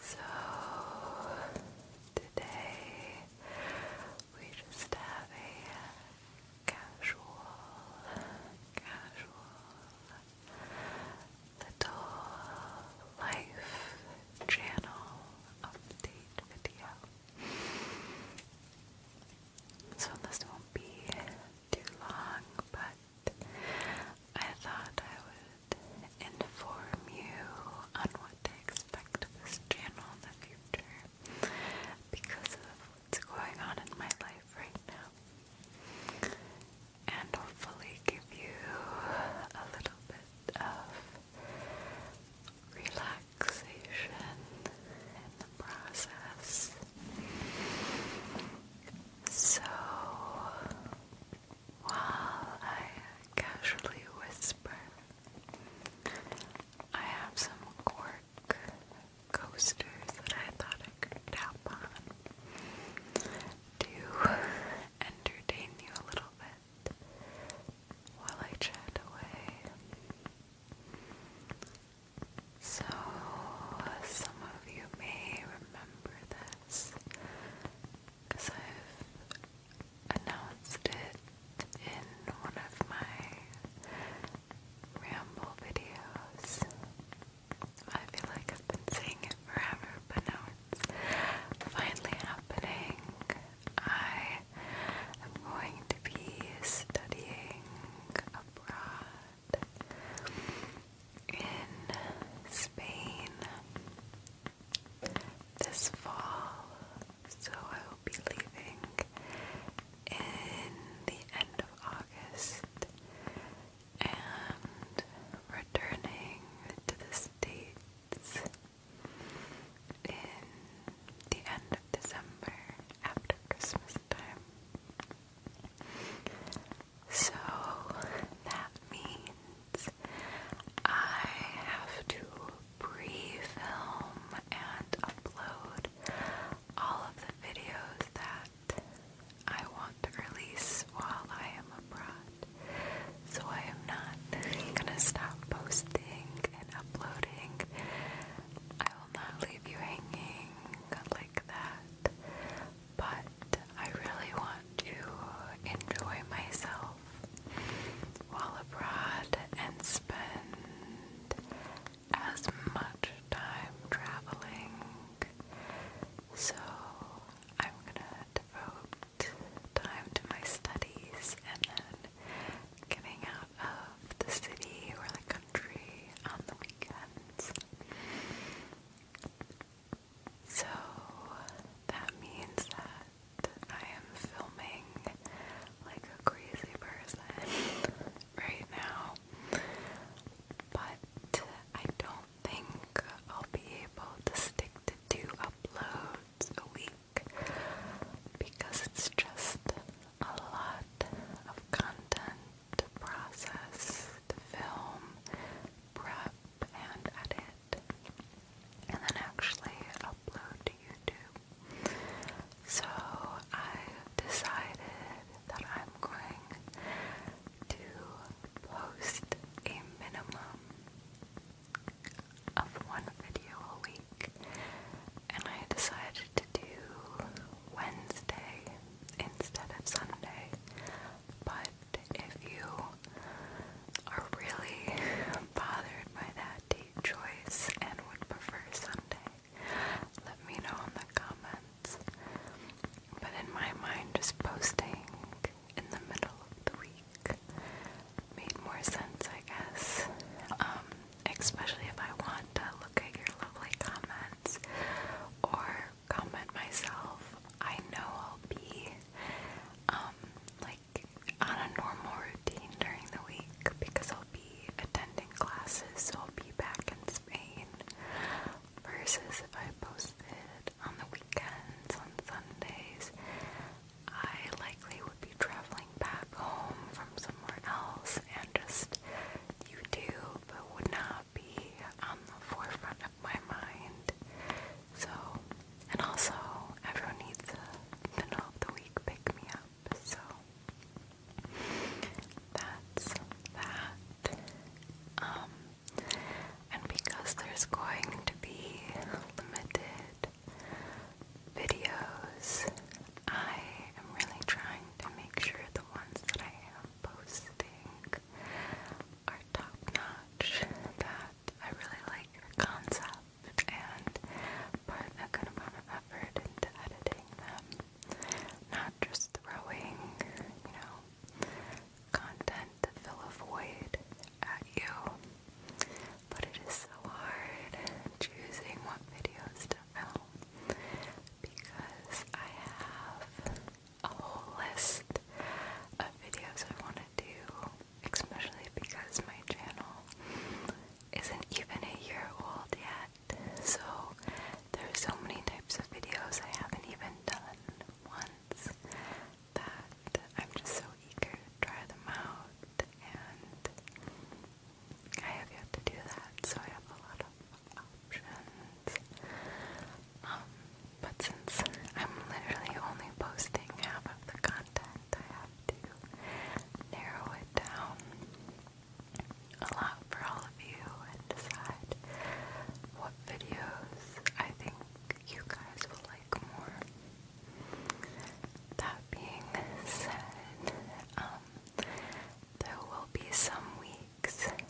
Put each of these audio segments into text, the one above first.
So today we just have a casual, casual little life channel update video. So this won't be too long, but I thought I would inform you on what to expect of this channel in the future because of what's going on in my life right now. And hopefully give you a little bit of relaxation in the process. So while I casually whisper, I have some cork coasters that I thought I could tap on to entertain you a little bit while I chat away. So, some of you may remember this because I've announced it in one of my ramble videos. I feel like I've been saying it forever, but now it's finally happening. I am going to be studying abroad in Spain this fall, so I will be leaving in the end of August and returning to the States in the end of December after Christmas time. So that means I have to pre film and upload all of the videos that I want to release while I am abroad. So I am not gonna stop posting and uploading. I will not leave you hanging like that but I really want to enjoy myself while abroad and spend as much time traveling. So I'm gonna devote time to my studies and then getting out of the city or the country on the weekends. So that means that I am filming like a crazy person right now. But I don't think I'll be able to stick to two uploads a week because it's just a lot of content to process to film, prep, and edit, and then actually upload to YouTube. So I decided that I'm going to post a minimum of one video a week, and I decided to do Wednesday instead of Sunday but if you are really bothered by that date choice and would prefer Sunday, let me know in the comments. But in my mind, just posting in the middle of the week made more sense, I guess. Um, especially if I want to look at your lovely comments or comment myself, I know I'll be um, like on a normal routine during the week because I'll be attending classes, so I'll be back in Spain. Versus if I posted on the weekends, on Sundays, I likely would be traveling back home from somewhere else and just YouTube would not be on the forefront my mind. So, and also, everyone needs a middle of the week pick me up. So, that's that. Um, and because there's going to be limited videos, I am really trying to make sure the ones that I am posting like are top notch. That I really like the concept and put a good amount of effort into editing them. Not just throwing, you know, content to fill a void at you. But it is so hard choosing what videos to film because I have a whole list of videos I want to do, especially because my channel isn't even a year old yet. So there's so many types of videos I haven't even done once that I'm just so eager to try them out and I have yet to do that, so I have a lot of options. Um, but since I'm literally only posting half of the content, I have to narrow it down a lot for all of you and decide what videos I think you guys will like more. That being said, um, there will be some weeks that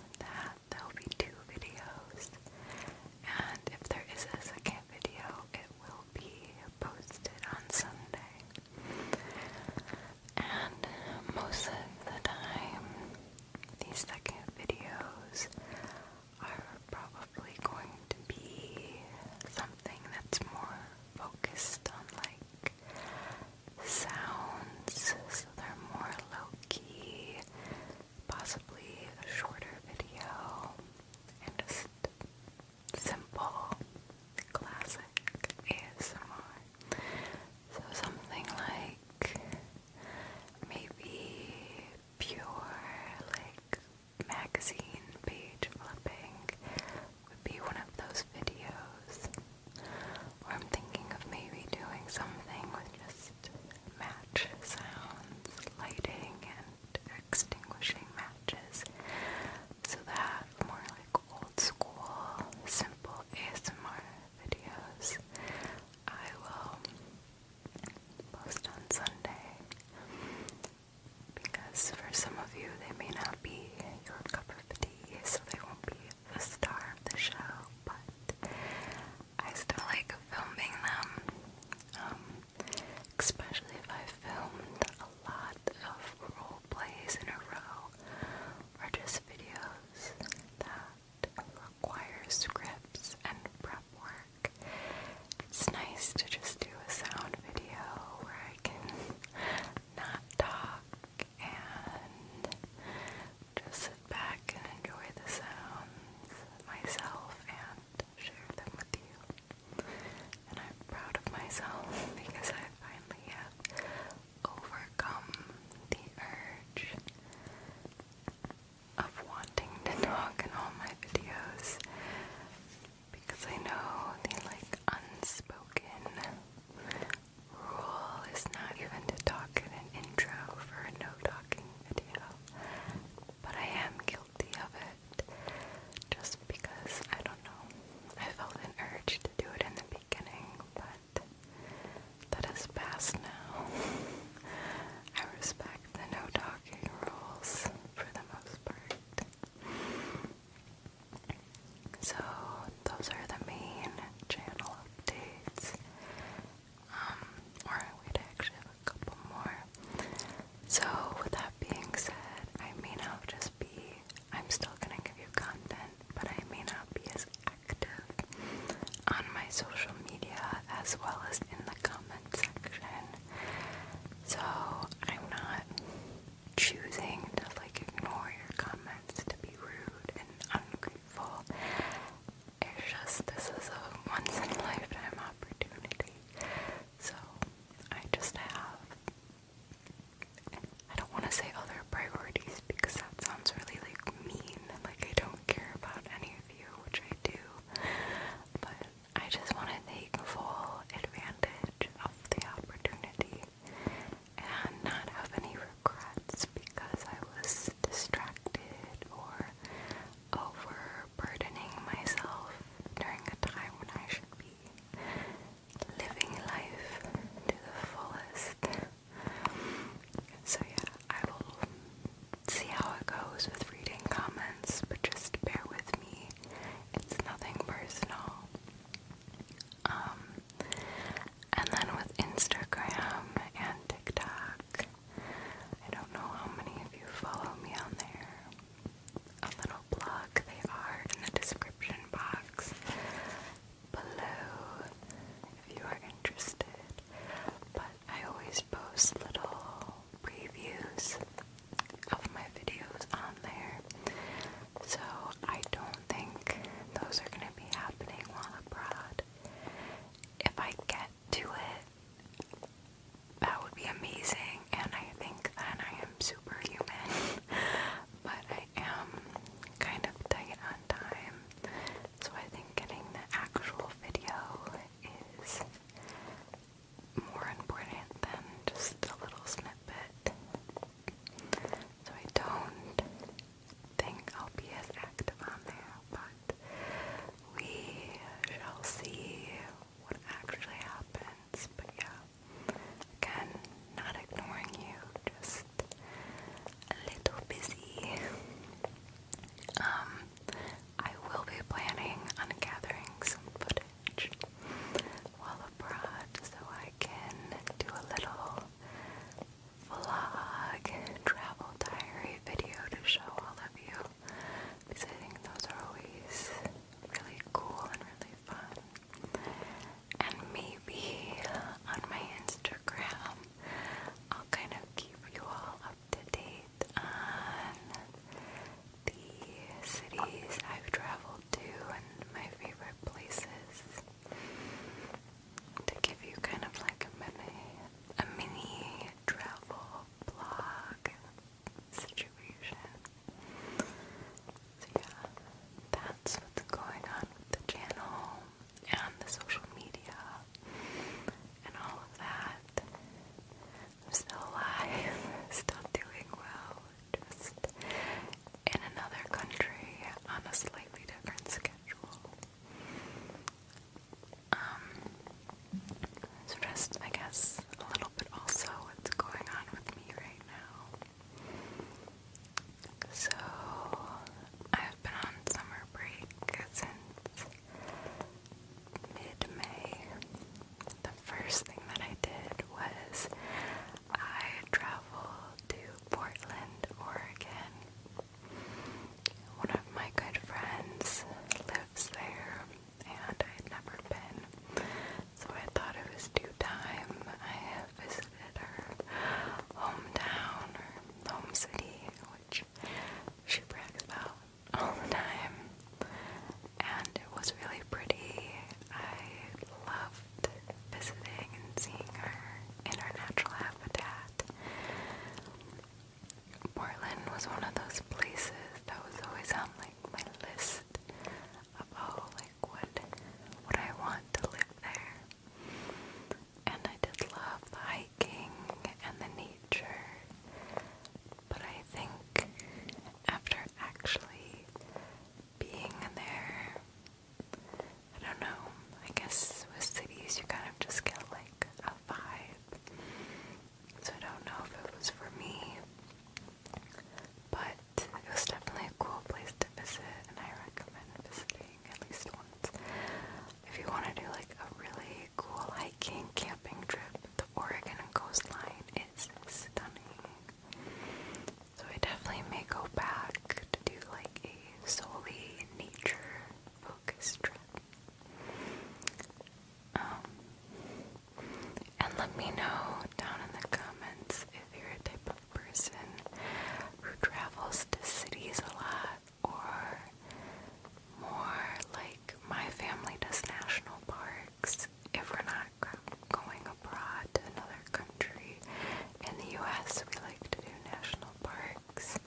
there'll be two videos, and if there is a second video, it will be posted on Sunday. And most of the time, these second videos are probably going to be something that's more focused on like sounds, so they're more low key, possibly a shorter video, and just simple, classic ASMR. So something like maybe pure, like magazine page flipping would be one of those videos. I'm thinking of maybe doing something with just match sounds, lighting, and extinguishing matches. So that more like old school, simple ASMR videos I will post on Sunday. Because for some of you, they may not be your cup of tea, so they won't be the star of the show, but I still like filming them. Um, especially if I filmed a lot of role plays in a row, or just videos that require scripts and prep work. It's nice to just do a sound video where I can not talk and just sit back and enjoy the sounds myself and share them with you. And I'm proud of myself because I finally have overcome the urge of wanting to talk in all my videos because I know the like unspoken rule is not even to talk in an intro for a no talking video, but I am guilty of it just because I don't know. I felt an urge to do it in the beginning, but that has passed now. I respect the no talking rules for the most part. So those are the main channel updates. Um, or we'd actually have a couple more. So with that being said, I may not just be I'm still gonna give you content, but I may not be as active on my social media as well as in the comment section. So I'm not choosing to like ignore your comments to be rude and ungrateful. It's just this is a once in a lifetime opportunity. So I just have I don't want to say other priorities because that sounds really like mean and like I don't care about any of you, which I do. But I just want to take full advantage of the opportunity and not have any because I was distracted or overburdening myself during a time when I should be living life to the fullest. So, yeah, I will see how it goes with reading comments, but just bear with me. It's nothing personal. Um, and then with Instagram and TikTok, I don't know how many of you follow me on there. A little blog, they are in the description box below if you are interested. But I always post little previews of my videos on there. So I don't think those are going to be happening while abroad. If I get to it, that would be amazing, and I think that I am superhuman. but I am kind of tight on time, so I think getting the actual video is more important than just a little snippet. So I don't think I'll be as active on there, but we shall see what actually happens. But yeah, again, not ignoring you, just a little busy. Um, I will be planning on gathering some footage while abroad so I can do a little vlog travel diary video to show all of you because I think those are always really cool and really fun. And maybe on my Instagram I'll kind of keep you all up to date on the cities I've traveled to and my favorite places to give you kind of like a mini, a mini travel blog situation. So yeah, that's what's going on with the channel and the social media and all of that. I'm still alive, still doing well, just in another country on a slightly different schedule. Um, just, I guess, a little bit also what's going on with me right now. So, I've been on summer break since mid May first thing that I did was I traveled to Portland, Oregon. One of my good friends lives there, and I had never been, so I thought it was due time I visited her hometown or home city, which she brags about all the time. And it was really pretty. I love visiting and seeing her in her natural habitat. Portland was one of those places that was always on like my list of oh like what would I want to live there. And I did love the hiking and the nature. But I think after actually being there. I don't know. I guess with cities, you kind of just get like a vibe. So I don't know if it was for me, but it was definitely a cool place to visit, and I recommend visiting at least once. If you want to do like a really cool hiking, camping trip, the Oregon coastline is stunning. So I definitely may go back to do like a solely nature focused trip. Um, and let me know down in the comments if you're a type of person who travels to cities a lot or more like my family does national parks if we're not going abroad to another country. In the US, we like to do national parks,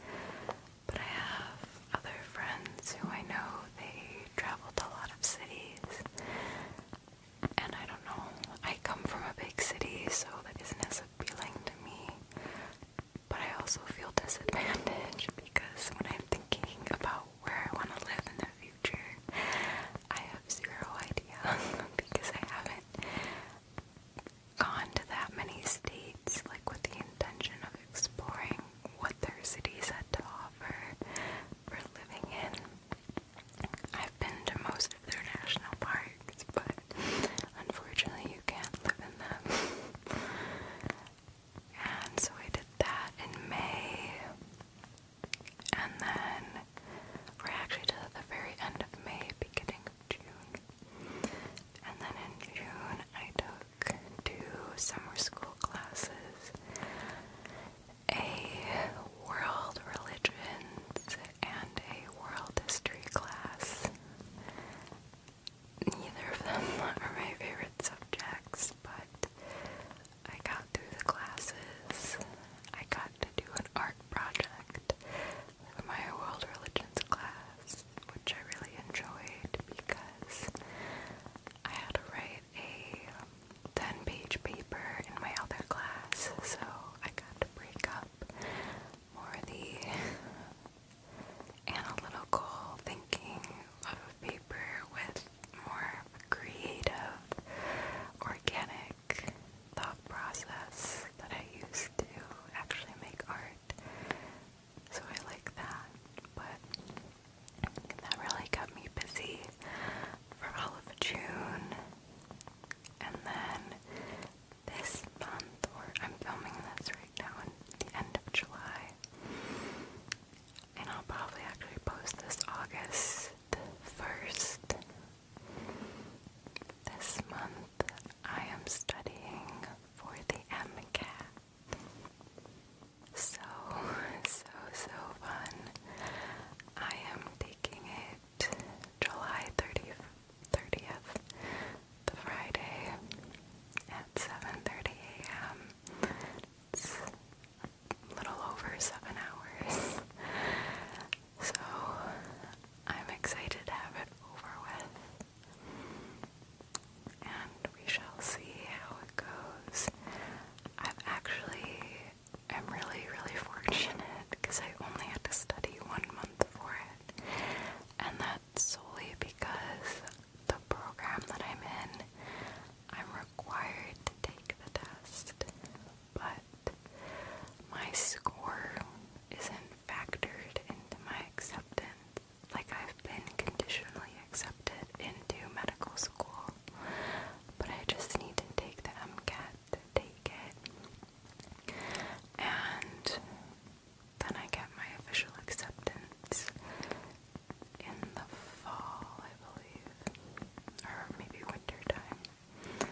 but I have other friends who I know they travel to a lot of cities, and I don't know. I come from a big city, so that isn't as appealing to me. But I also feel disadvantaged because when I'm thinking about where I want to live in the future. I have zero idea because I haven't gone to that many states like with the intention of exploring what their cities had to offer for living in. I've been to most of their national parks, but unfortunately you can't live in them. and so I did that in May. And then we're actually to the very end of May, beginning of June. And then in June, I took two summer school classes a world religions and a world history class. Neither of them are my favorite subjects, but I got through the classes. I got to do an art project for my world religions class, which I really enjoyed because I had to write a 10 page paper in my other class, so I got to break up more of the analytical thinking of a paper with more creative, organic thought process that I used to actually make art. So I like that, but that really kept me busy for all of June. And then this month, or I'm filming this right now at the end of July, and I'll probably actually post this August 1st. This month I am studying for the MCAT. So, so, so fun. I am taking it July 30th, 30th the Friday at 7.30 a.m little over seven hours. So I'm excited to have it over with. And we shall see how it goes. I've actually am really, really fortunate because I only had to study one month for it. And that's solely because the program that I'm in I'm required to take the test, but my score isn't factored into my acceptance. Like, I've been conditionally accepted into medical school, but I just need to take the MCAT to take it. And then I get my official acceptance in the fall, I believe, or maybe winter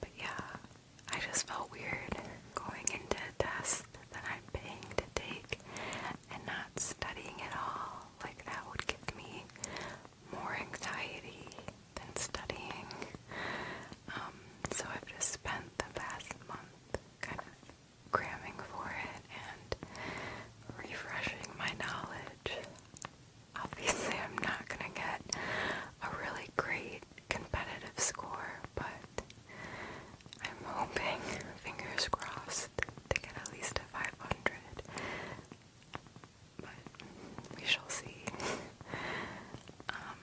But yeah, I just felt weird going into a test that I'm paying to take and not studying at all. Like that would give me more anxiety than studying. Um, so I've just spent the past month kind of cramming for it and refreshing my knowledge. Obviously, I'm not going to get a really great competitive score, but I'm hoping, fingers crossed, to get at least a 500. But we shall see. Um,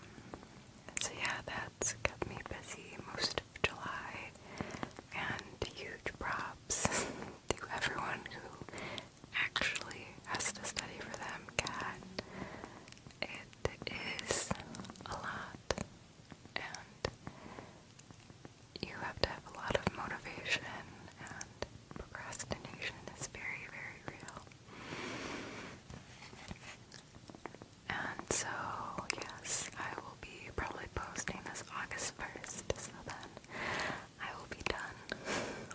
so yeah, that's kept me busy most of July, and huge props to everyone who actually has to study for them, Cat. It is a lot, and you have to have a lot of motivation, and procrastination is very, very real. And so, yes, I will be probably posting this August 1st, so then I will be done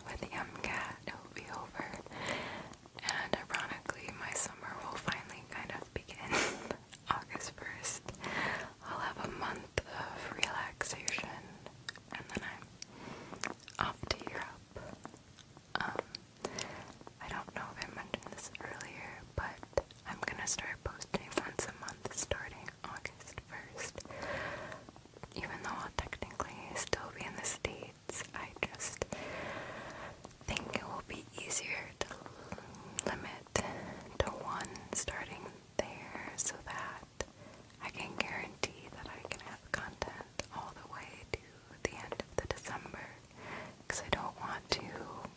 with the MCAT. It will be over. And ironically, my summer will finally kind of begin August 1st. I'll have a month of relaxation and then I'm off to Europe. Um, I don't know if I mentioned this earlier, but I'm gonna start posting once a month starting August 1st. Even though I'll technically still be in the States, I just think it will be easier to limit to one starting there so that I can guarantee that I can have content all the way to the end of the December because I don't want to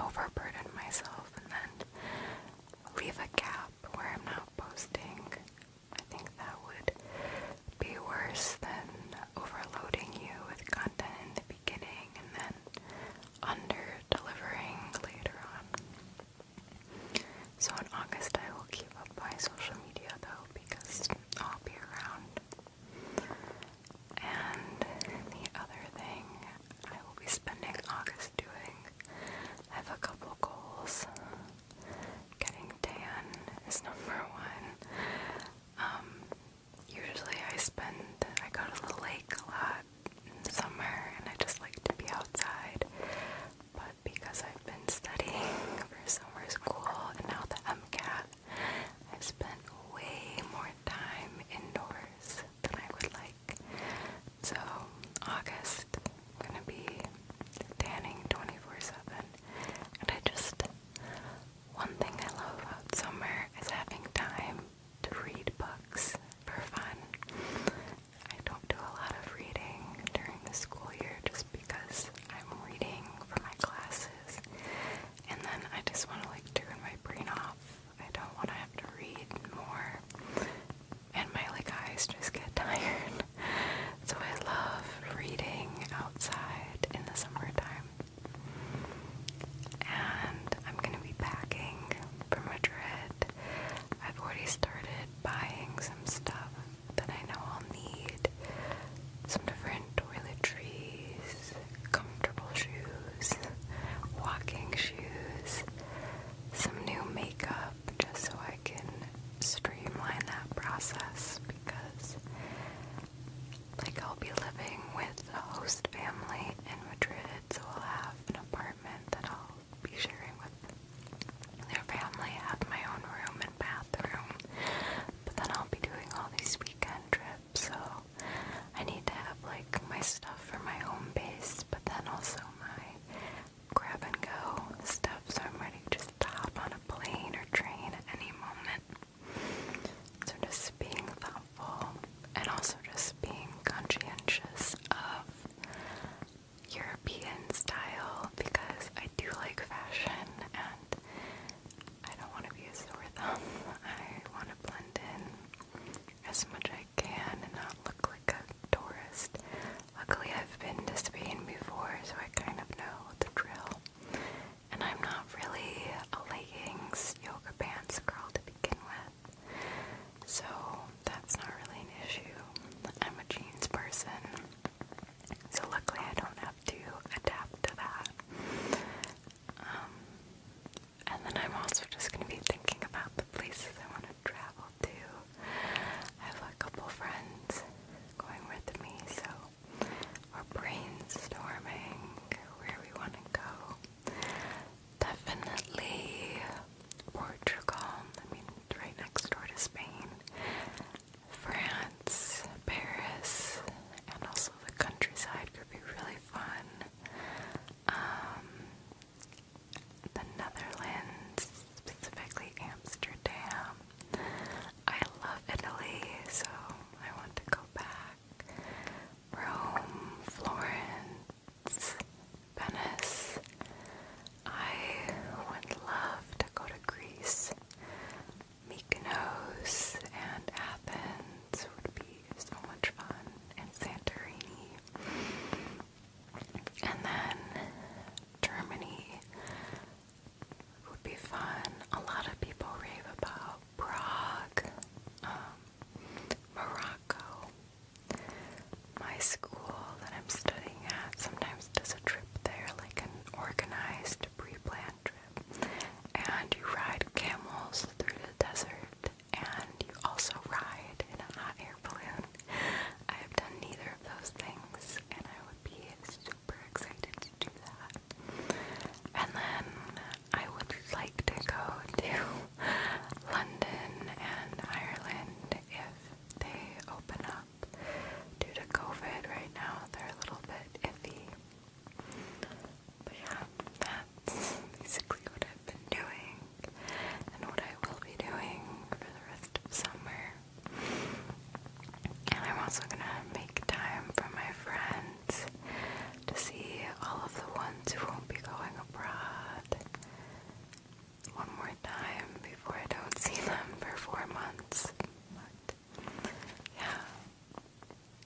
overburden myself and then leave a gap where I'm not posting. I think that would be worse than overloading you with content in the beginning and then under delivering later on. So in August I will keep up my social media though because I'll be around. And the other thing I will be spending August doing, I have a couple goals. Getting tan is number one. Um, usually I spend, I go to the lake a lot in the summer and I just like to be outside. But because I've been studying for summer school and now the MCAT, I've spent way more time indoors than I would like. So, August, gonna be tanning 24 7. And I just, one thing I love about summer is having time to read books for fun. I don't do a lot of reading during the school year just because I'm reading for my classes. And then I just want to like turn my brain off I don't want to have to read more. And my like eyes just get tired. So I love reading outside in the summertime. And I'm gonna be packing for Madrid. I've already started buying some stuff that I know I'll need. Some different toiletries comfortable shoes, walking shoes, some new makeup just so I can streamline that process because like I'll be living with a host family in Madrid so I'll have an apartment that I'll be sharing with their family, have my own room and bathroom but then I'll be doing all these weekend trips so I need to have like my stuff for my home base, but then also my grab and go stuff, so I'm ready to just hop on a plane or train at any moment. So just being thoughtful and also just being conscientious of European style because I do like fashion and I don't want to be a sore thumb. I want to blend as much I can and not look like a tourist. Luckily, I've been to Spain before, so I kind of know the drill. And I'm not really a leggings, yoga pants girl to begin with, so that's not really an issue. I'm a jeans person, so luckily I don't have to adapt to that. Um, and then I'm also just going to be thinking about the places I want to travel to. I have a couple friends going with me, so we're brainstorming where we want to go. Definitely Portugal, I mean, it's right next door to Spain, France, Paris, and also the countryside could be really fun. Um, the Netherlands, specifically Amsterdam. I love Italy, so I want to go back. Rome, Florence, Venice. I would love to go to Greece. Mykonos and Athens would be so much fun, and Santorini. And then Germany would be fun. A lot of people rave about Prague, um, Morocco. My school that I'm studying at sometimes does a trip there, like an organized pre-planned and you ride camels through the desert, and you also ride in a hot air balloon. I have done neither of those things, and I would be super excited to do that. And then I would like to go to London and Ireland if they open up. Due to COVID right now, they're a little bit iffy. But yeah, that's basically what I've been doing and what I will be doing for the rest of summer. And I'm also gonna make time for my friends to see all of the ones who won't be going abroad one more time before I don't see them for four months. But yeah,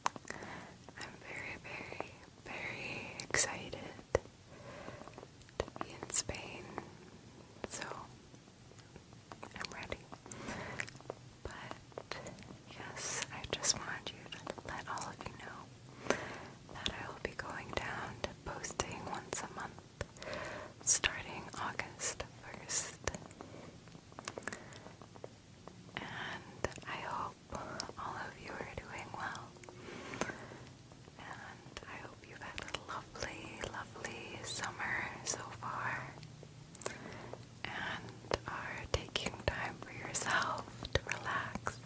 I'm very, very, very excited to be in Spain, so I'm ready. But yes, I just wanted you to let all of you know that I will be going down to posting once a month starting August 1st and I hope all of you are doing well. And I hope you've had a lovely, lovely summer so far and are taking time for yourself to relax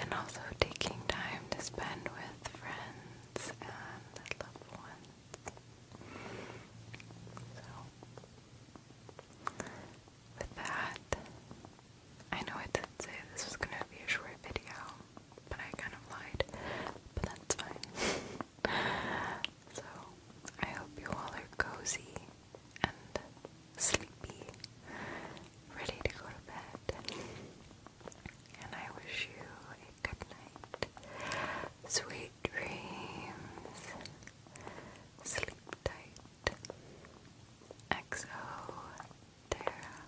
and also taking time to spend with friends and loved ones. So with that, I know I did say this was gonna be a short video, but I kind of lied. But that's fine. so, I hope you all are cozy and sleepy, ready to go to bed. And I wish you a good night, sweet sweet dreams. Sleep tight. XO Terra.